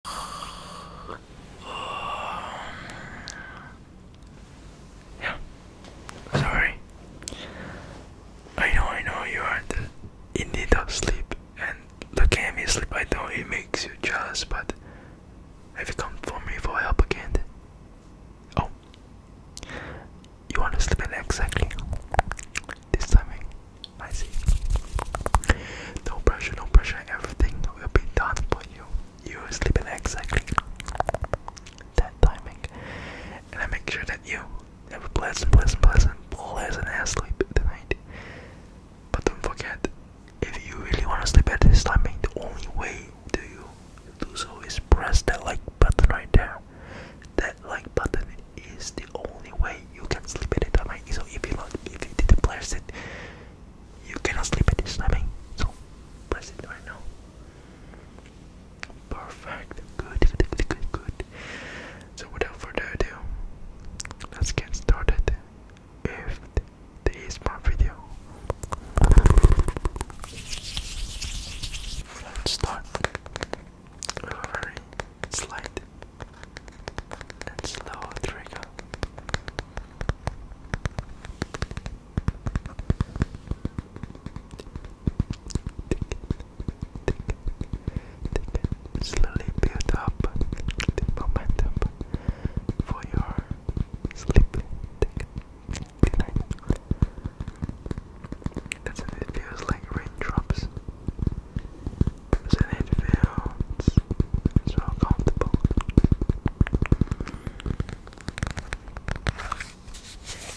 Yeah. Sorry. I know, I know you are in need of sleep, and looking at me sleep, I know it makes you jealous, but have you come for me for help again? Oh. You want to sleep in exactly this timing? I see. No pressure, no pressure. Everything will be done for you. You sleep in exactly that timing. And I make sure that you have a pleasant, pleasant, pleasant, pleasant ass sleep tonight. But don't forget, if you really want to sleep at this timing, the only way to you do so is press that like button right there. That like button is the only way you can sleep at it, I mean, so if you not, if you didn't place it, you cannot sleep at this time, I so press it right now. Perfect, good, good, good, So without further ado, let's get started If this my video. Let's start with a very slight and slow trigger. Slowly build up the momentum for your sleep. Good night. That's it, it feels like raindrops so it feels so comfortable. Shh. Shh.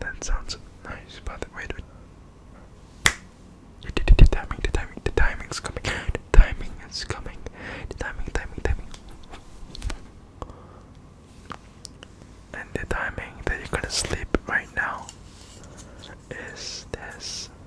That sounds nice, by the way. The timing, the timing, is coming. The timing is coming. The timing, timing, timing. And the timing that you're gonna sleep right now is this.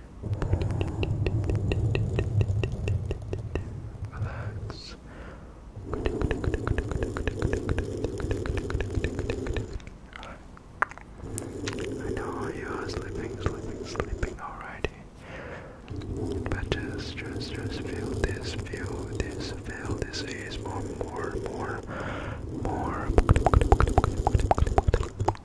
Relax. I know you are sleeping, sleeping, sleeping already. But just, just, just feel this, feel this, feel this is more, more, more, more.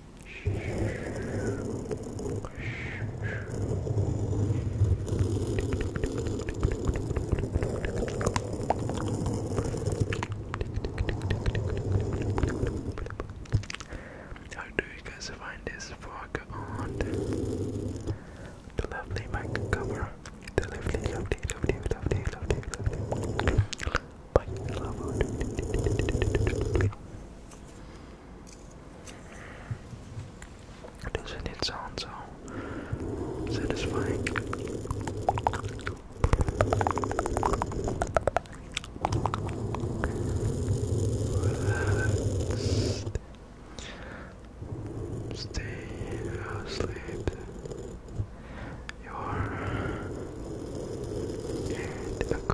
How do you guys find this fog on the lovely mic cover? The lovely, lovely, lovely, lovely, lovely, lovely, Bye, love. Doesn't it sound so satisfying? Stay asleep. You're in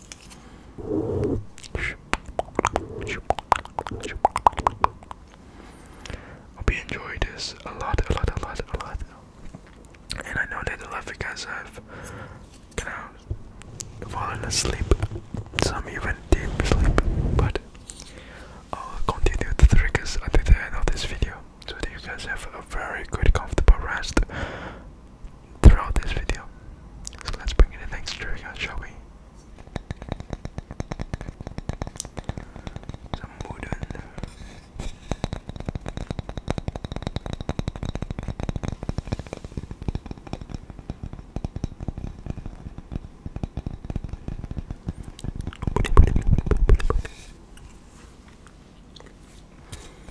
Hope you enjoyed this a lot, a lot, a lot, a lot. And I know that a lot of you guys have kind of fallen asleep, some even deep sleep, but I'll continue the triggers until the end of this video so that you guys have a very good, comfortable rest throughout this video. So let's bring in the next trigger, uh, shall we?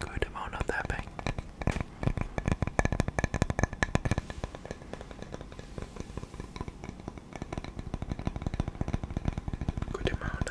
Good amount of that Good amount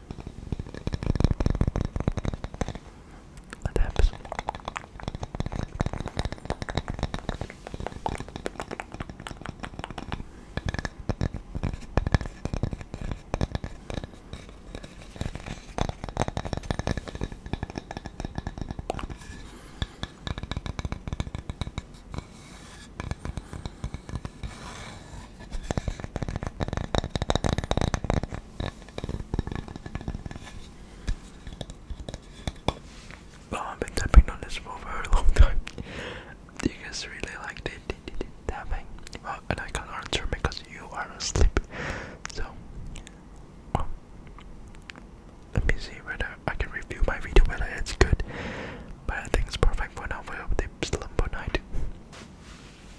Adapts. Oh, I've been tapping on this for a long time. Do you guys really like the, tapping? Well, and I can't answer because you are asleep. So, oh. let me see whether I can review my video whether it's good. But I think it's perfect for now for the slumber night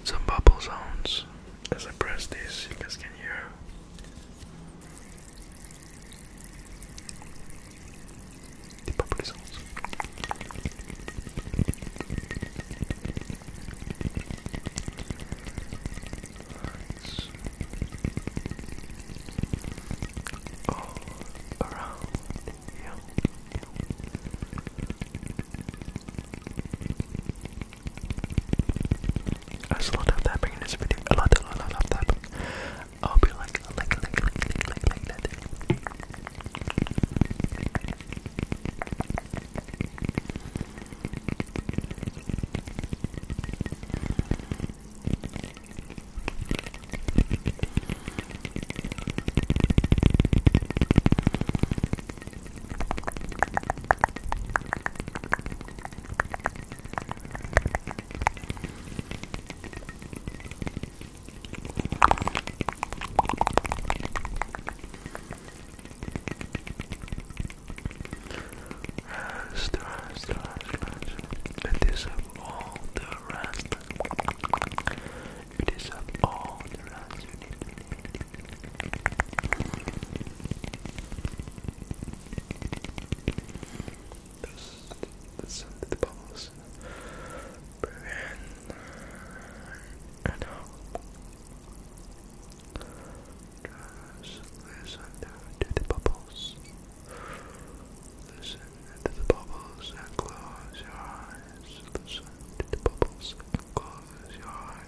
some bubble zones. as I press this, you guys can hear. The bubble sounds. All around there's a lot of tapping in this video. A lot, a lot, a lot of I hope you like, like, like, like, like, like, like that. Stretch, stretch, stretch. Let this have all the rest. You deserve all the rounds you need. That's, that's the balls. Brilliant. And now, just listen to the bubbles. Listen to the bubbles and close your eyes. Listen to the bubbles and close your eyes.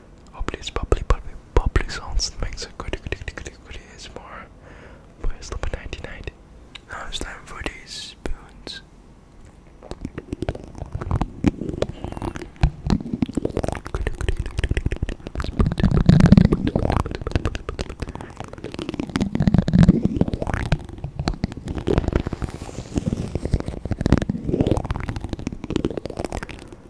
Hopefully oh, oh, oh, it's bubbly, bubbly, bubbly sounds makes a good, good, good, good, good ASMR. But it's number 99. Now it's time for these spoons.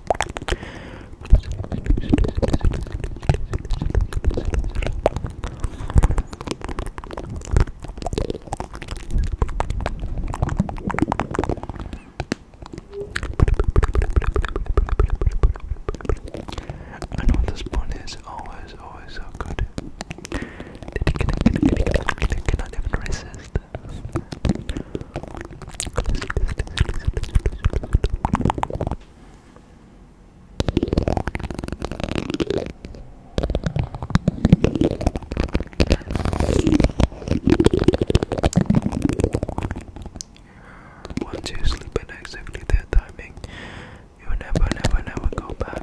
I know this one is always, always so good. I even resist. Once you sleep in exactly that timing, you never, never, never go back.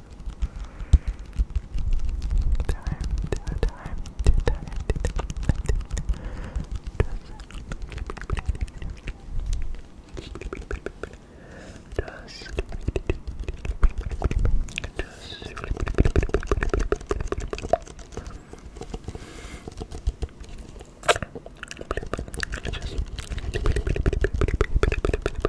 Time to time to time to time. Just, just, just. Just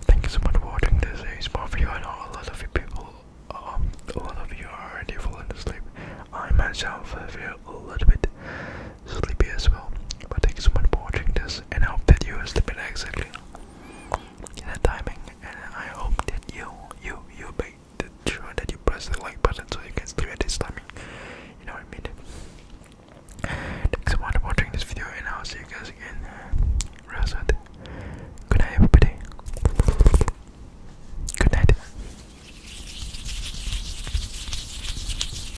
Thank you so much for watching this ASMR video. I know a lot of you people, um, a lot of you are already falling asleep. I myself feel a little bit sleepy as well. But thanks so much for watching this, and I hope that you are sleeping exactly in that timing. And I hope that you, you, you make sure that you press the like button so you can sleep at this timing. You know what I mean? Thanks so much for watching this video, and I'll see you guys again real soon. Good night, everybody. Good night.